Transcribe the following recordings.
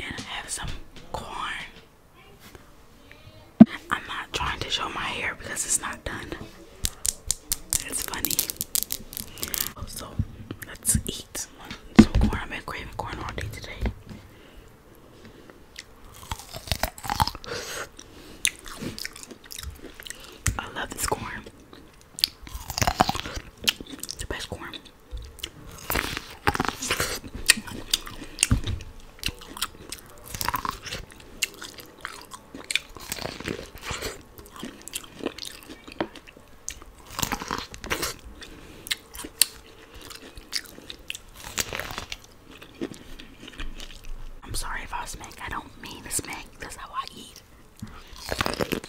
and I have some corn. I'm not trying to show my hair because it's not done. It's funny. So let's eat some corn. I've been craving corn all day today. I love this corn. It's the best corn. I'm sorry if I smack. I don't mean to smack. That's how I eat.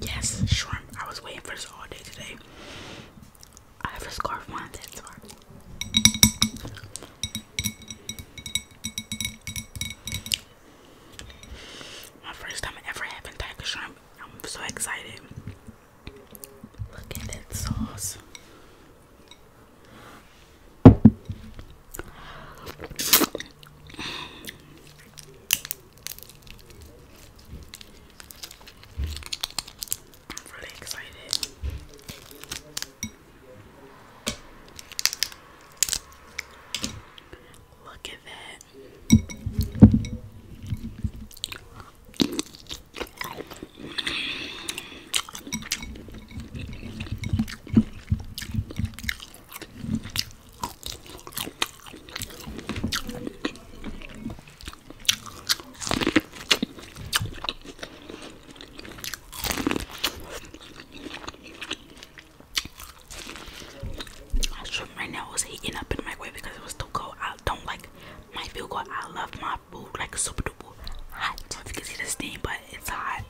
Yes, shrimp. I was waiting for this all day today. I have a scarf on that's why. My first time ever having tiger shrimp. I'm so excited. Look at that sauce. I'm really excited. Look at that. Right now, it was heating up in my microwave because it was too cold. I don't like my food good. I love my food like super duper hot. If you can see the steam, but it's hot.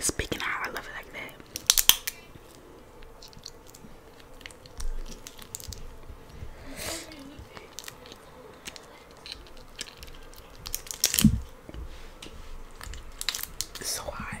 Speaking of how I love it like that. It's so hot.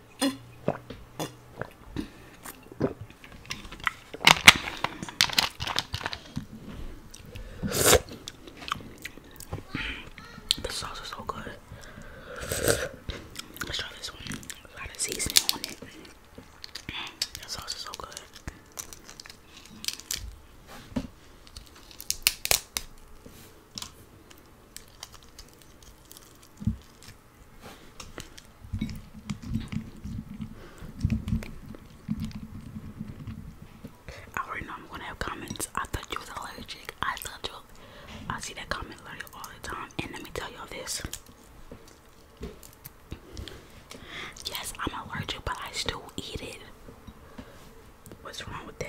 The sauce is so good. Let's try this one. A seasoning on it. That sauce is so good. I already I'm gonna have comments. I thought you was allergic. I thought you. I see that comment literally all the time. And let me tell y'all this. Yes, I'm allergic, but I still eat it. What's wrong with that?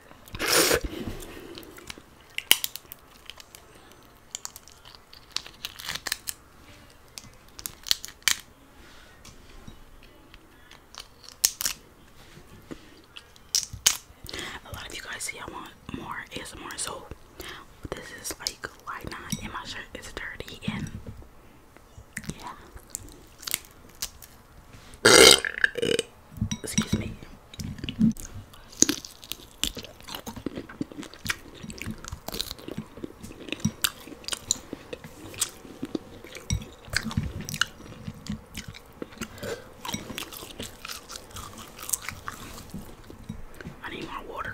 A lot of you guys say I want more ASMR, so this is like why not? And my shirt is dirty and Excuse me. I need more water.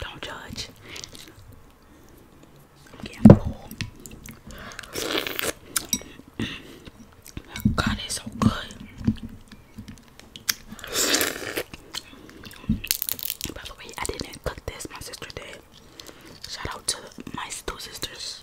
Don't judge. Yeah, cool. God, it's so good. By the way, I didn't cook this, my sister did. Shout out to my two sisters.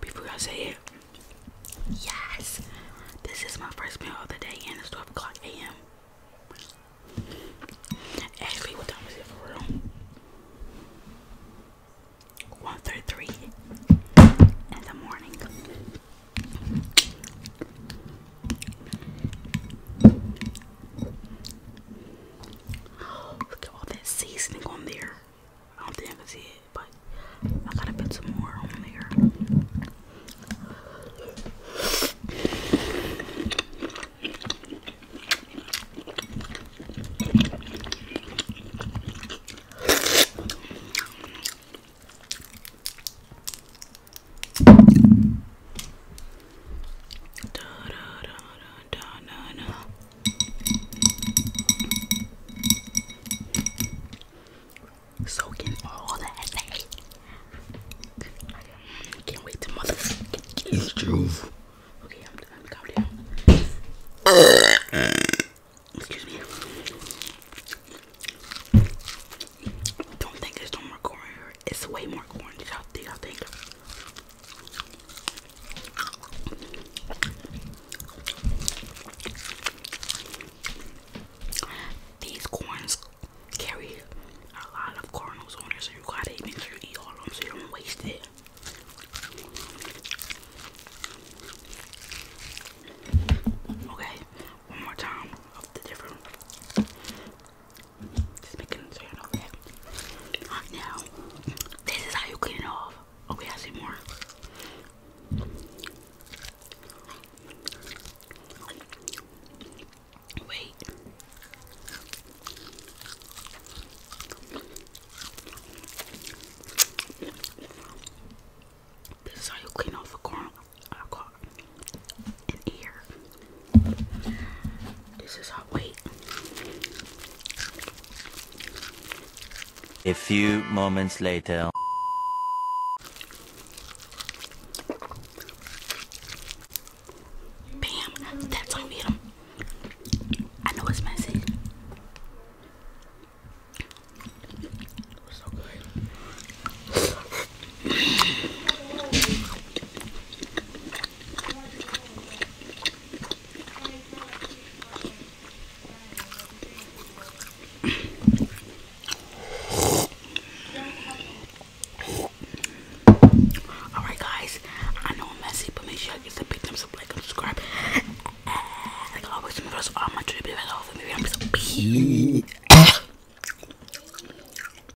Before I say it, yes, this is my first meal of the day, and it's 12 o'clock a.m. Actually, what time is it for real? 1.33 in the morning. Look at all that seasoning on there. I don't think I can see it, but I gotta put some more on there. Da, da, da, da, da, da, da. Soaking all that day. Can't wait to motherfucking get you. Okay, I'm done. Calm down. Excuse me. Don't think it's no more corn here. It's way more corn. Y'all think? These corns carry a lot of kernels on it, so you gotta make sure you eat all of them so you don't waste it. Okay, one more time of the different now, this is how you clean it off. Okay, I see more. Wait. This is how you clean off a corn, uh, ear. This is hot. Wait. A few moments later. Bam, that's how we hit him. I know it's messy. So good. Alright guys, I know I'm messy, but make sure you get the pictures of like and subscribe. like always, my first all my tribute videos